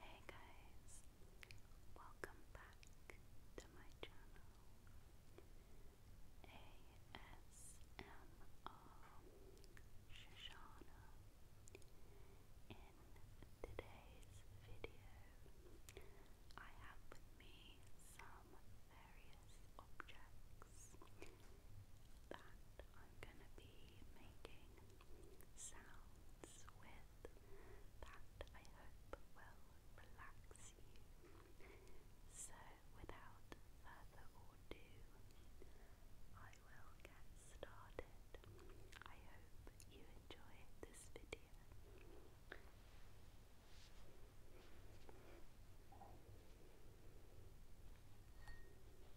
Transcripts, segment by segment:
Hey guys, welcome back to my channel ASMR Shoshana. In today's video, I have with me some various objects that I'm going to be making sounds with that I hope will relax you. So, without further ado, I will get started. I hope you enjoyed this video.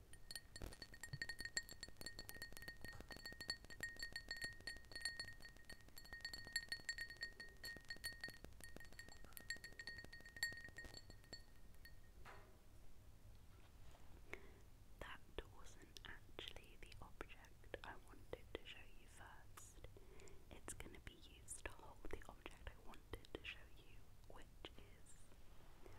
That wasn't actually the object I wanted to show you first. It's going to be used to hold the object I wanted to show you which is Lentils.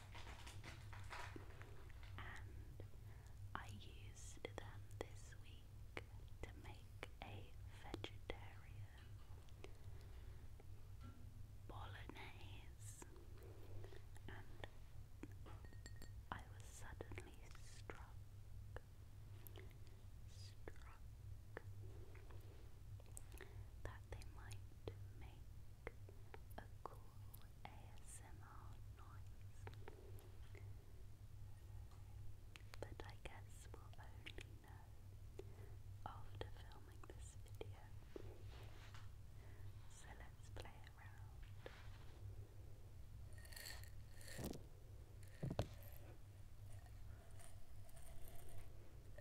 and I used them this week to make a vegetarian bolognese and I was suddenly struck that they might make a cool ASMR noise. But I guess we'll only know after filming this video. So let's play around.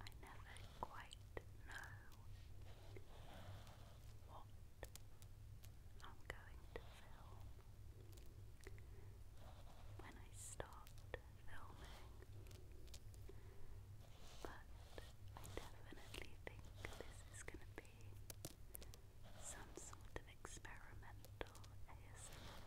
I never quite know what I'm going to film. When I start filming, but I definitely think this is going to be some sort of experimental ASMR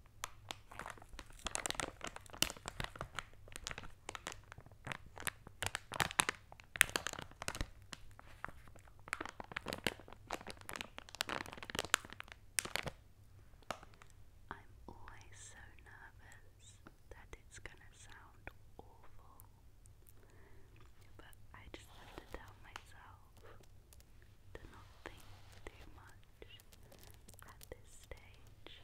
I'm always so nervous that it's going to sound awful, but I just have to tell myself to not think too much much at this stage.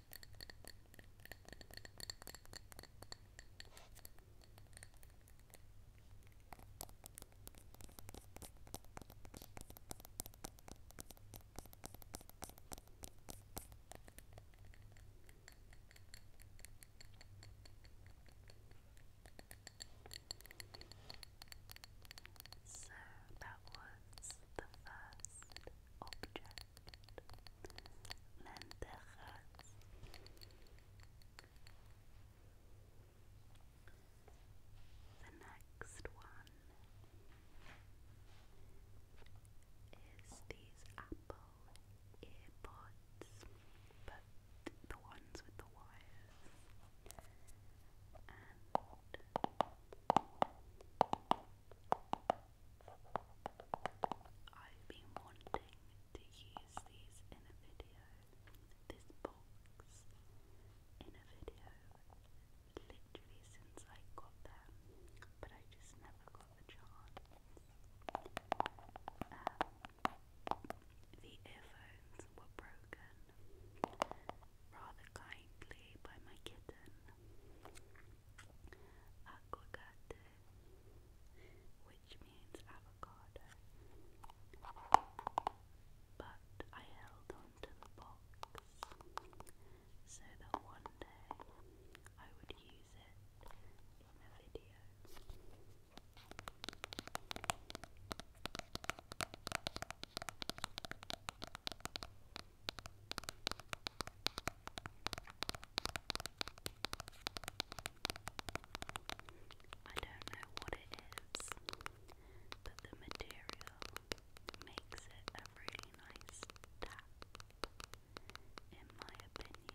So that was the first object lentejas the next one is these apple earbuds but the ones with the wires I've been wanting to use these in a video, this box in a video, literally since I got them, but I just never got the chance. Um, the earphones were broken rather kindly by my kitten aguacate, which means avocado. But I held on the box so that one day I would use it in a video. I don't know what it is, but the material makes it a really nice tap, in my opinion.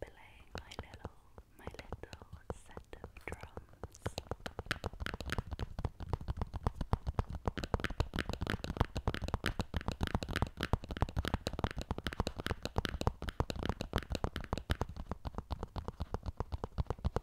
Playing my little, my little set of drums. Thank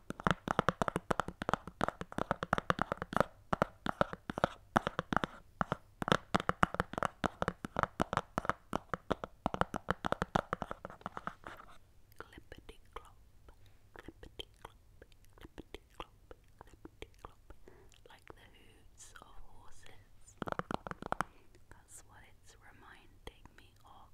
Clippity clop, clippity clop, clippity clop, clippity clop, like the hooves of horses. That's what it's reminding me of.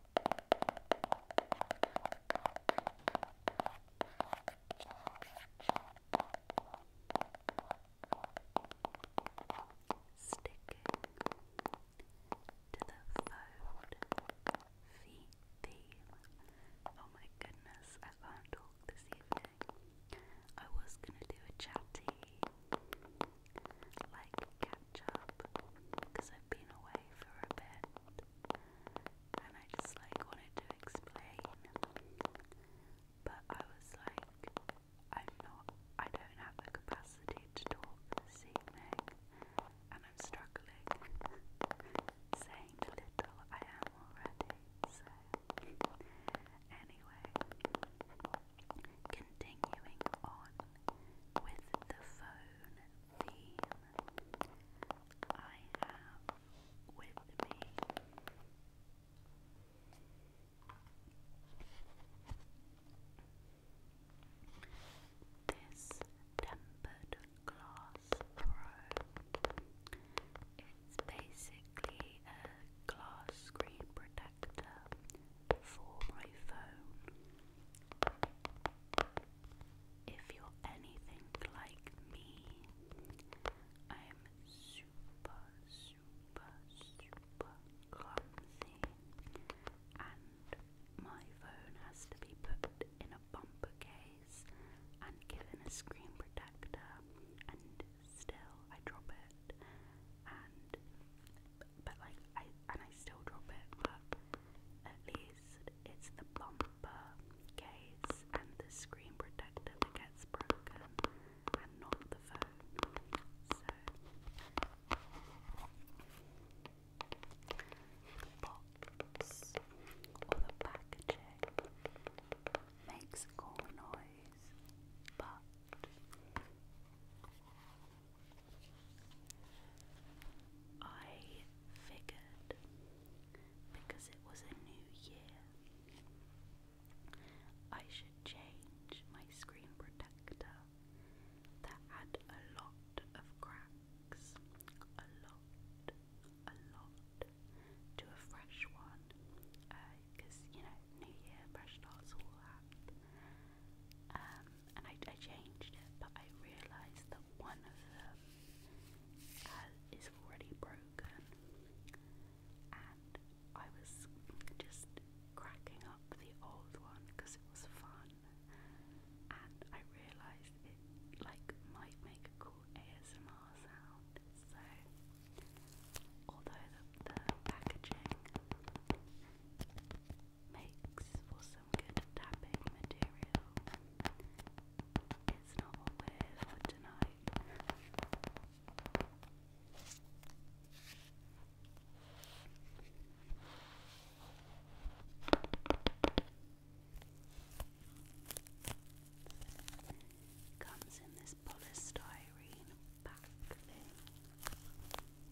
Sticking to the phone feet theme. Oh my goodness, I can't talk this evening. I was gonna do a chatty like catch up because I've been away for a bit and I just like wanted to explain. But I was like, I'm not, I don't have the capacity to talk this and I'm struggling saying little I am already. So, anyway, Continuing on with the phone theme, I have with me this tempered glass pro. It's basically a glass screen protector for my phone. If you're anything like me, I'm super, super, super clumsy, and my phone has to be put in a bumper case and given a screen protector, and still I drop it and but like I and I still drop it, but at least it's the bumper case and the screen protector that gets broken and not the phone. So box or the packaging makes cool noise, but I figured because it was a new year, I should change my screen protector that had a lot of cracks, a lot, a lot, to a fresh one. Because, uh, you know, new year, fresh starts, all that. Um, and I, I changed it, but I realised that one of them is already broken, and I was just cracking up the old one because it was fun, and I realised it like might make a cool ASMR sound, so although the, the packaging makes for some good tapping material. It's not what for tonight. Comes in this polystyrene back thing.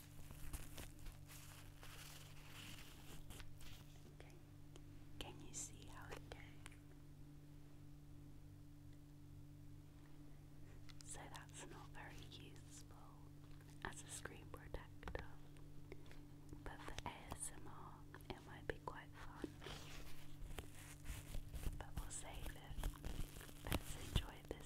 Okay. Can you see how it came? So that's not very useful as a screen protector, but for ASMR it might be quite fun. But we'll save it. Let's enjoy this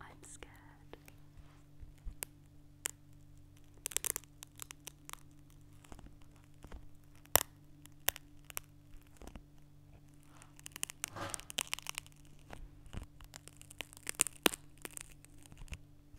I'm scared.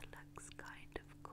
It looks kind of cool.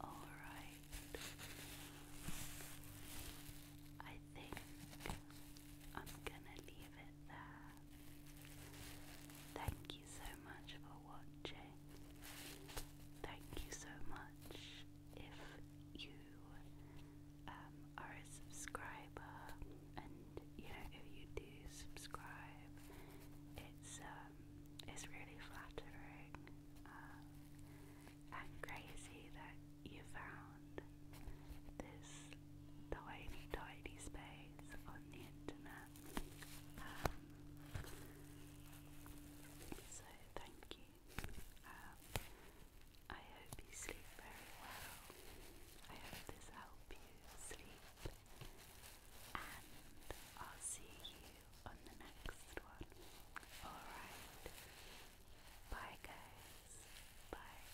All right. I think I'm going to leave it there. Thank you so much for watching. Thank you so much if you um, are a subscriber, and you know if you do subscribe, it's um it's really flattering um, and crazy that you found this tiny tiny space on the internet. Um, so thank you. Um, I hope you sleep very well. I hope this helped you sleep. And I'll see you on the next one. Alright. Bye guys. Bye.